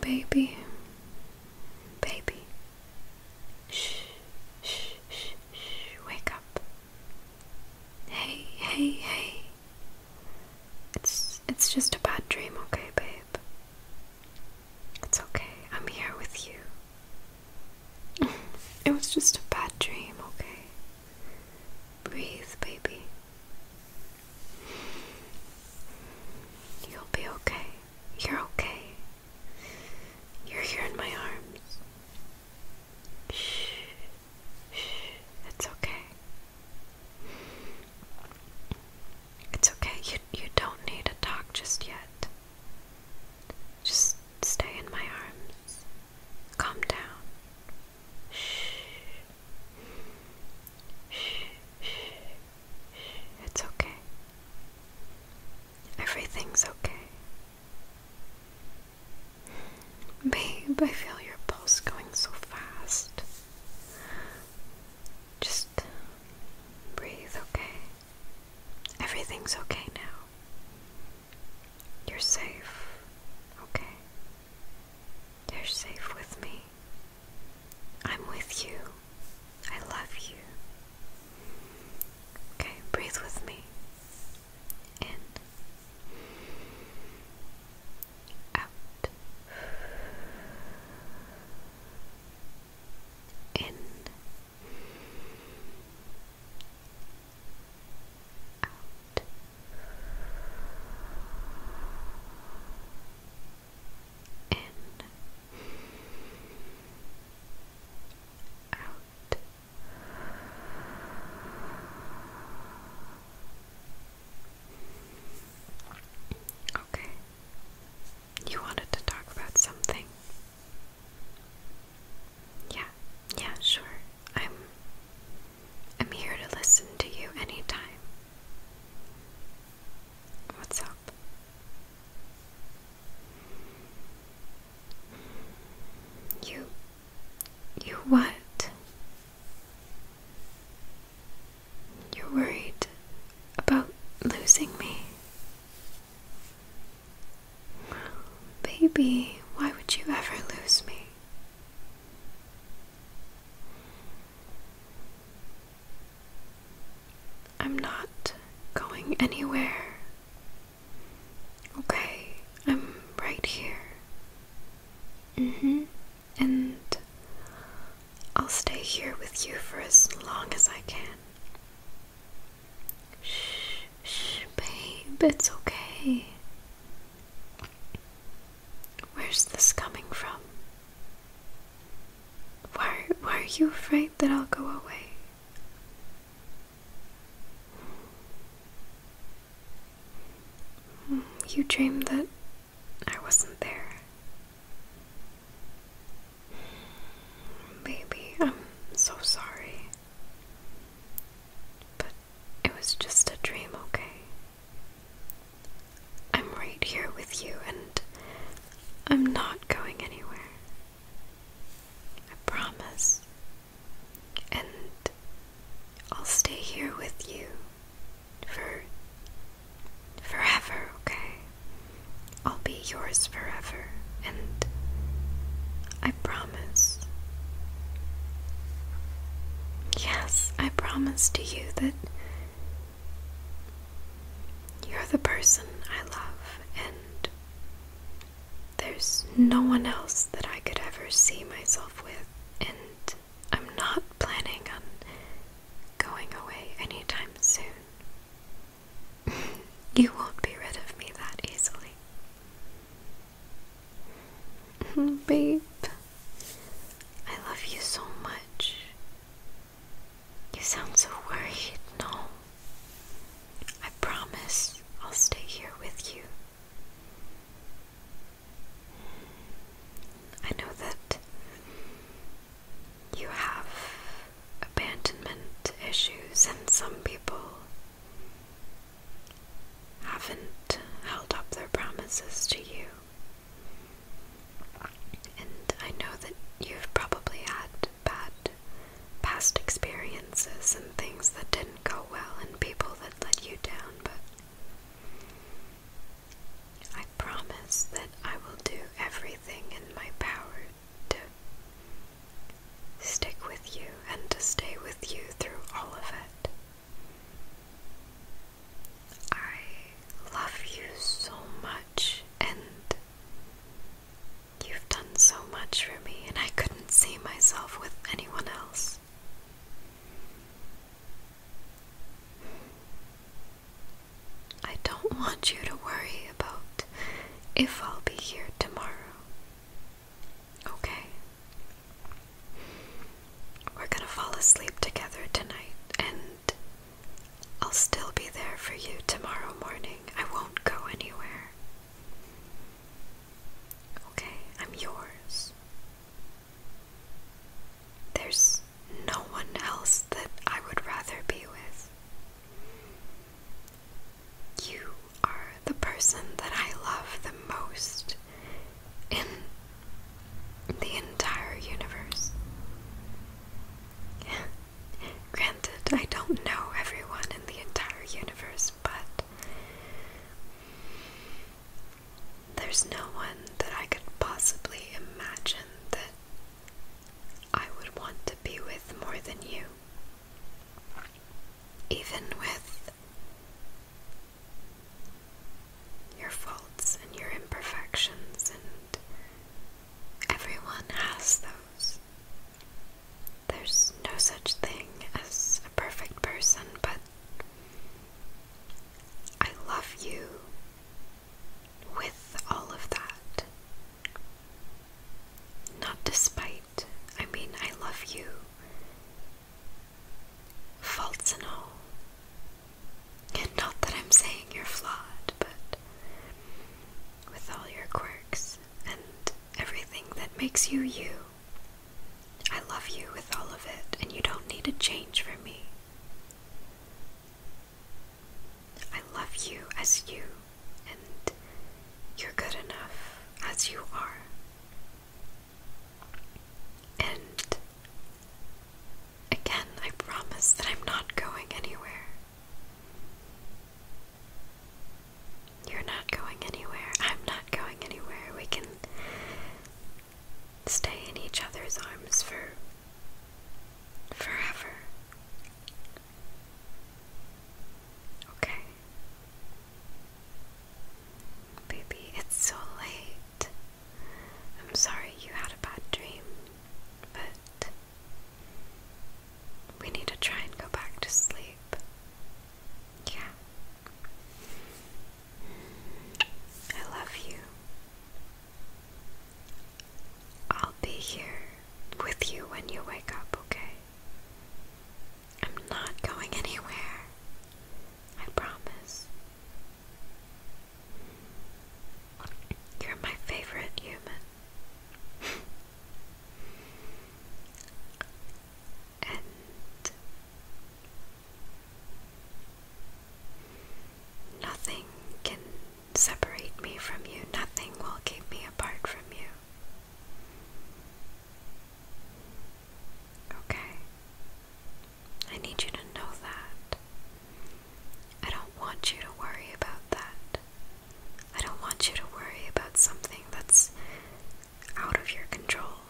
Baby, baby, shh, shh, shh, shh, wake up. Hey, hey, hey. It's it's just a bad dream, okay, babe. It's okay. I'm here with you it was just a bad dream, okay? Breathe, baby. You'll be okay. You're okay. You're here in my arms. Shh. It's okay. It's okay. You you don't need to talk just yet. Just stay in my arms. Calm down. Shh. Shh. Shh. It's okay. Everything's okay. Babe, I feel your pulse going so fast. Just breathe, okay? Everything's okay now. You're safe, okay? You're safe with me. I'm with you. I love you. Okay, breathe with me. In. Out in, out. In, out, okay. You wanted to talk about something. Yeah, yeah, sure. I'm I'm here to listen to you anytime. What's up? You you what? You're worried about losing me. Baby, why would you ever lose me? I'm not going anywhere. Okay, I'm right here. Mm hmm and I'll stay here with you for as long as I can. Shh, shh, babe, it's okay. Where's this coming from? Why, why are you afraid that I'll go away? Hmm, you dream that I wasn't there. Baby, I'm so sorry. But it was just a dream, okay? I'm right here with you and I'm not going anywhere. I promise. And I'll stay here with you for forever, okay? I'll be yours forever, and I promise. Yes, I promise to you that you're the person I love, and there's no one else that I could ever see myself with, and I'm not planning on going away anytime soon. you won't be rid of me that easily. Babe, I love you so much. You sound so worried, no? I promise I'll stay here with you. I know that you have abandonment issues, and some people haven't held up their promises to you. And I know that you've probably had bad past experiences and things that didn't go well, and people that let you down, but I promise that I will do everything in my power to stick with you and to stay with you through all of it. I love you so much, and you've done so much for me, and I couldn't see myself with anyone else. I don't want you to worry about if I'll be here tomorrow. Okay? We're gonna fall asleep together tonight, and I'll still be there for you tomorrow morning. I won't go anywhere. Okay, I'm yours. There's no one else that I would rather be with. You are the person that I love the most in the entire universe. Granted, I don't know everyone in the entire universe, but there's no one that I could possibly imagine that I would want to be with more than you. Even with your faults and your imperfections, and everyone has those. There's no such thing as a perfect person, but I love you with all of that. Not despite, I mean, I love you, faults and all. And not that I'm saying you're flawed, but with all your quirks and everything that makes you you. I love you with all of it, and you don't need a change for me. I love you as you, and you're good enough as you are. And again, I promise that I'm not going anywhere. You're not going anywhere. I'm not going anywhere. We can stay in each other's arms for forever. Okay. Baby, it's so late. I'm sorry you had a bad dream, but we need to try and go back to sleep. Yeah. I love you. I'll be here with you when you wake up, okay? I'm not going anywhere. I promise. You're my favorite human. nothing can separate me from you, nothing will keep me apart from you. Okay? I need you to know that. I don't want you to worry about that. I don't want you to worry about something that's out of your control.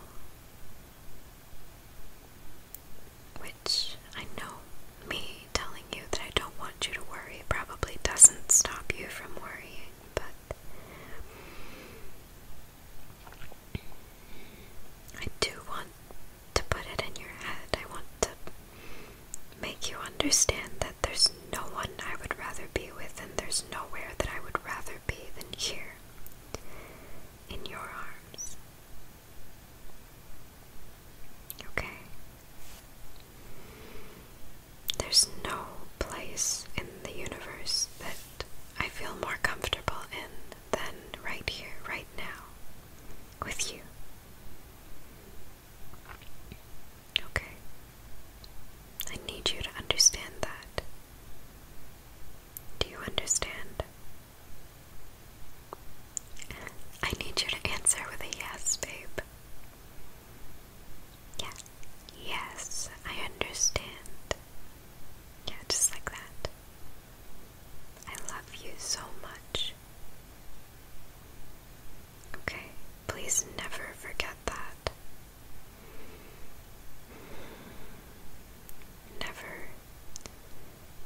Which I know me telling you that I don't want you to worry probably doesn't stop you from worrying, but I do want to put it in your head. I want to Make you understand that there's no one I would rather be with, and there's nowhere that I would rather be than here, in your arms. Okay? There's no place in the universe that I feel more comfortable in than right here, right now, with you. Okay. I need you to understand that. Do you understand? I need you to answer with a yes, babe. Yeah. Yes, I understand. Yeah, just like that. I love you so much. Okay, please never forget that. Never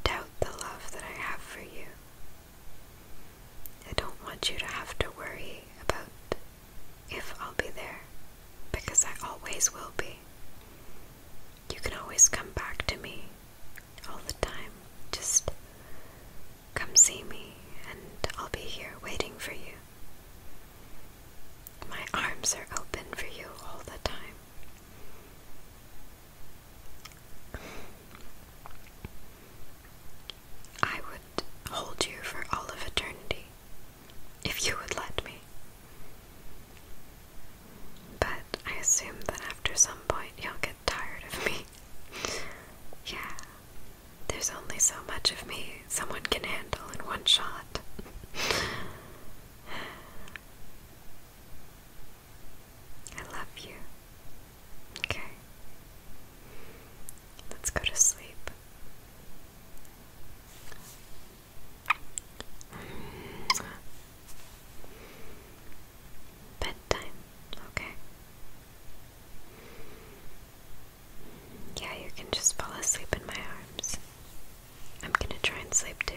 doubt the love that I have for you. I don't want you to have to worry about if I'll be there, because I always will be you can always come back to me all the time. Just come see me, and I'll be here waiting for you. My arms are open for you all the time. I would hold you for all of eternity if you would let me. But I assume that after some point you'll get tired of me. yeah, there's only so much of me someone can handle in one shot. I love you. Okay. Let's go to sleep. Bedtime, okay. Yeah, you can just fall asleep in my arms. I'm gonna try and sleep too.